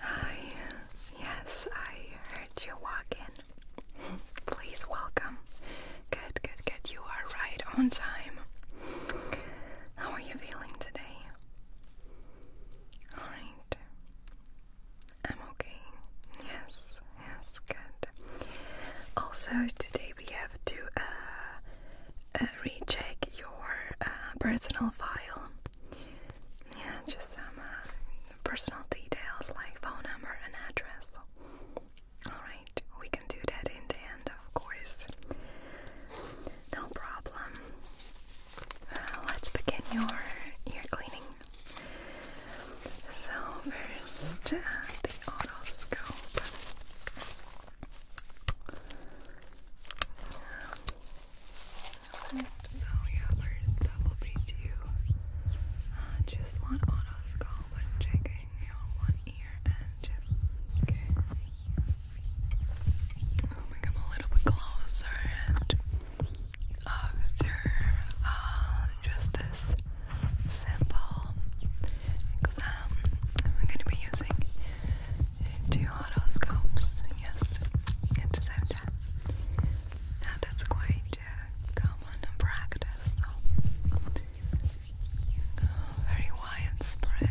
Hi, yes, I heard you walk in. Please welcome. Good, good, good. You are right on time. How are you feeling today? Alright. I'm okay. Yes, yes, good. Also, today we have to uh, uh, recheck your uh, personal file. Yeah, just some personal details like phone number and address. Alright, we can do that in the end, of course. No problem. let's begin your ear cleaning. So, first, the otoscope. So yeah, where's double B2? Uh, just one autos go when checking on one ear and chip. Okay. I'll oh make a little bit closer and observe uh, just this simple exam. I'm going to be using Two horoscopes, yes, at the same time. Now that's quite uh, common practice, very widespread.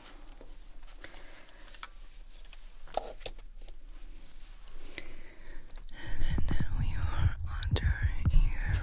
And then we are under here.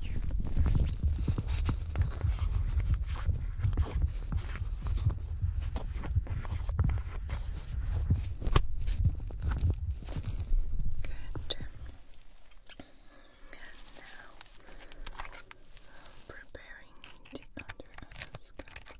Good. And now preparing it under our scalp.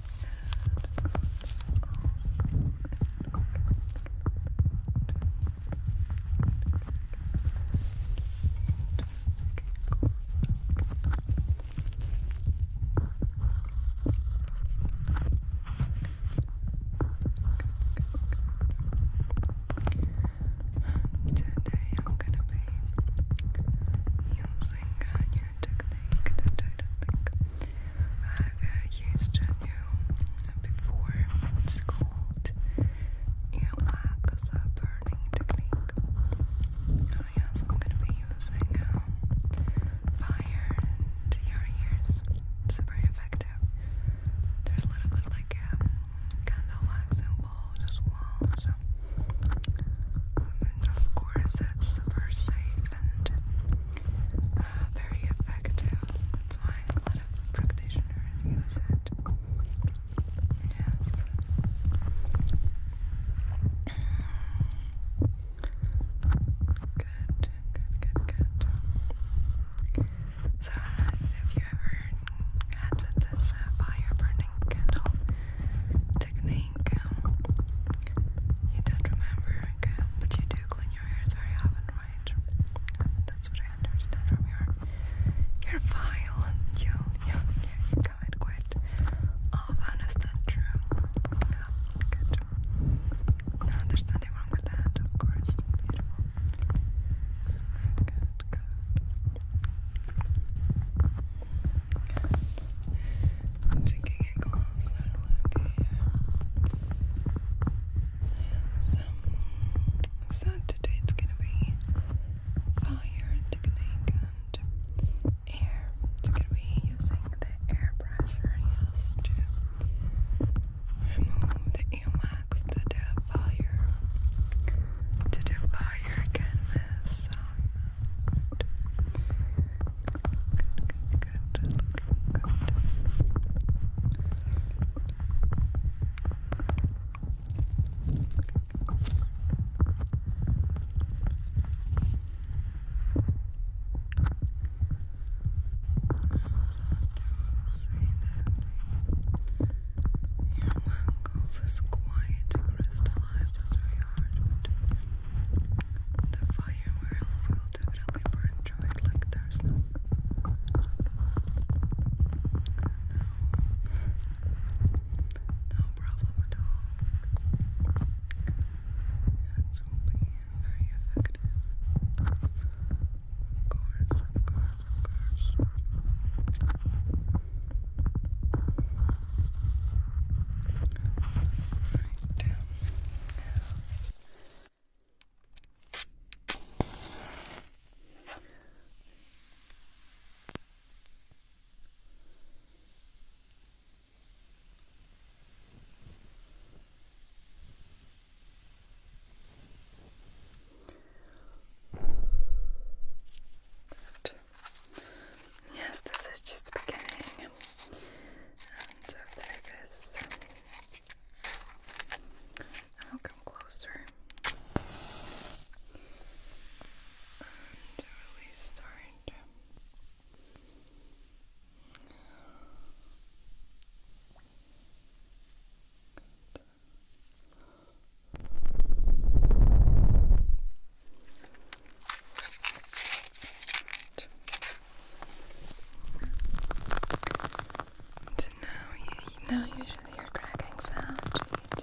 Today I'm gonna be using technique that I I've used on you before. It's called earwax as burning technique. Oh, yes, I'm gonna be using um, fire to your ears. It's very effective. There's a little bit like candle wax involved as well. So and of course it's super safe and uh, very effective. That's why a lot of practitioners use it. Yes. Good, good, good, good. So, uh, you ever had this uh, fire burning candle technique, think you don't remember, okay? but you do clean your hair very often, right? That's what I understand from your your file. You you you come in quite often. Is that true? Yeah, good. No, there's nothing wrong with that, of course. Beautiful. Good, good. Taking a So, today it's gonna be fire technique and air. It's gonna be using the air pressure, to remove the earwax that have fire. To do fire canvas, good, good, good, good. Your muscles is quiet crystallized into your heart the fire will definitely burn through it like there's no problem at all. It will be very effective. Of course, of course, of course. Right down now. Perfect. Yes, this is just beginning. And after uh, this, I'll come closer. And really start. And now you now usually your cracking sound Okay.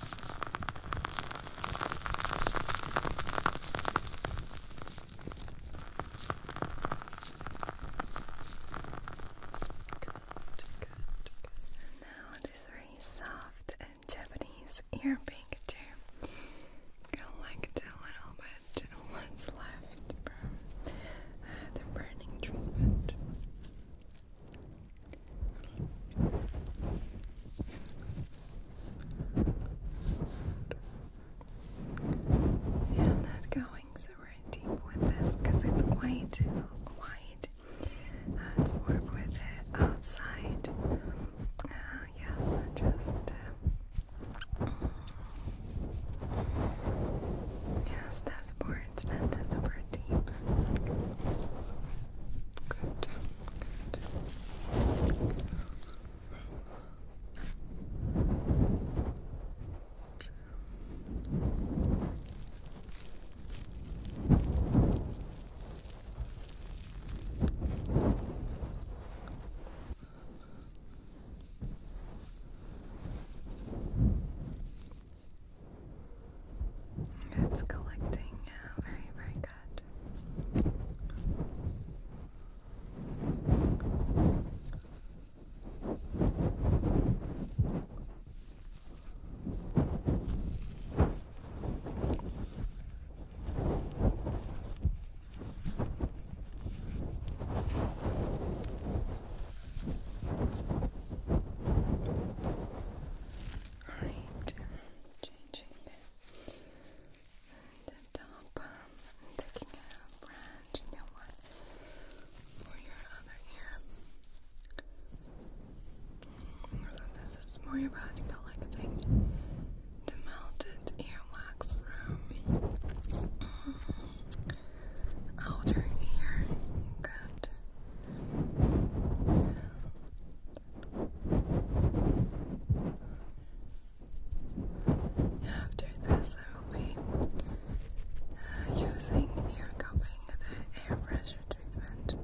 Good, good, Now this very soft and Japanese ear picture. a little bit what's left from uh, the burning treatment. Yeah, I'm not going super deep with this because it's quite wide. Uh, it's more with the outside. Uh, yes, just. Uh, yes, passports and the super team. Good. Good. Good. It's collecting, yeah, very, very good. Alright, changing the, the top. Um, a brand new one for your other ear. This is more about collecting the melted earwax from outer ear. Good. After this, I will be uh, using ear cupping the air pressure treatment.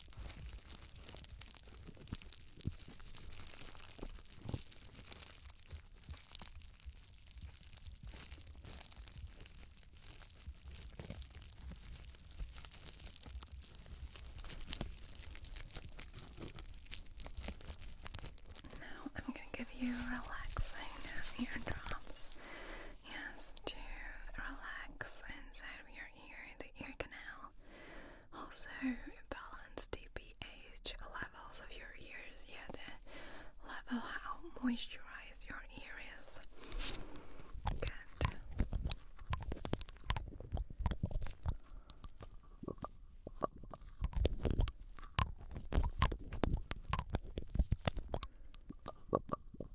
Now I'm going to give you relaxing ear drops. Yes, to relax inside of your here in the ear canal. Also, balance DBH levels of your ears, yeah, the level how moisturized your ears is.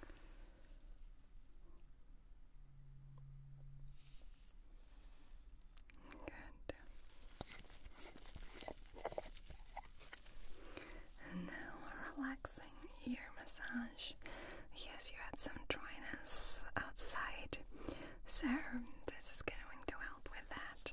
Good. now relaxing ear massage. Yes, you had some dryness outside, so this is going to help with that.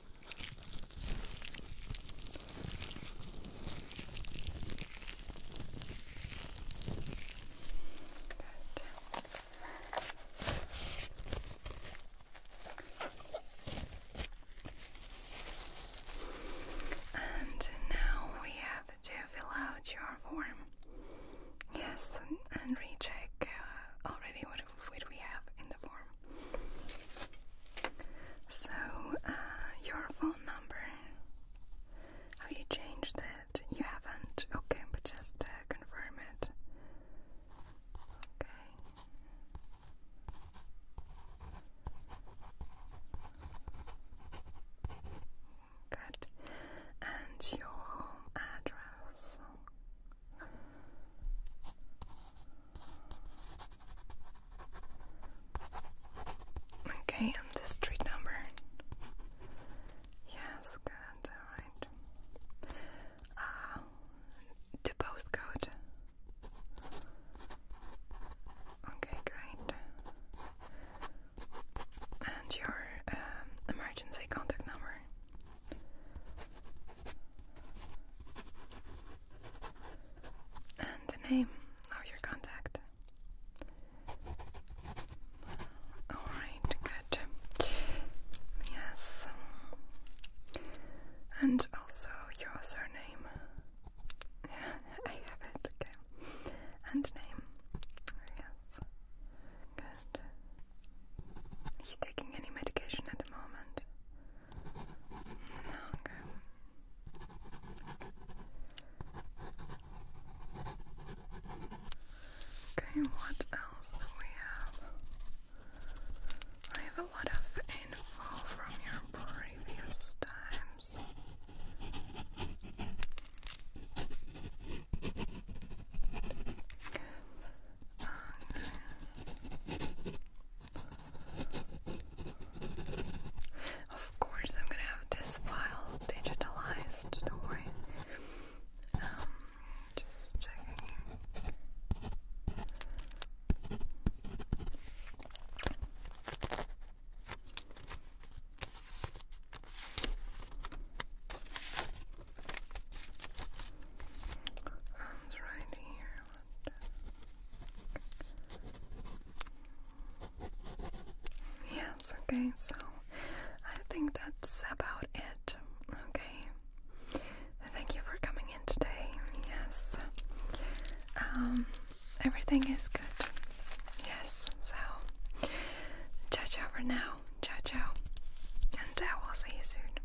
And now we have to fill out your form. Yes, and, recheck uh, already what food we have in the form. So, uh, your phone number. Have you changed it? You haven't? Okay, but just uh, confirm it. Okay. Good. And your address. Okay, and the street number. Yes, good, alright. Uh, the postcode. Okay, great. And your um, emergency contact number and the name of your contact. Alright, good. Yes. And also your surname. I have it, okay. And name. Yes. Good. Are you taking any medication at the moment? longer. Okay, what else do we have? I have a lot of info from your previous times. Of course, I'm gonna have this file digitalized, don't worry. Um, just checking here. Arms right here. Yes, okay, so I think that's about it. Okay. Thank you for coming in today. Yes. Um everything is good. Yes, so ciao ciao for now. Ciao ciao. And I will see you soon.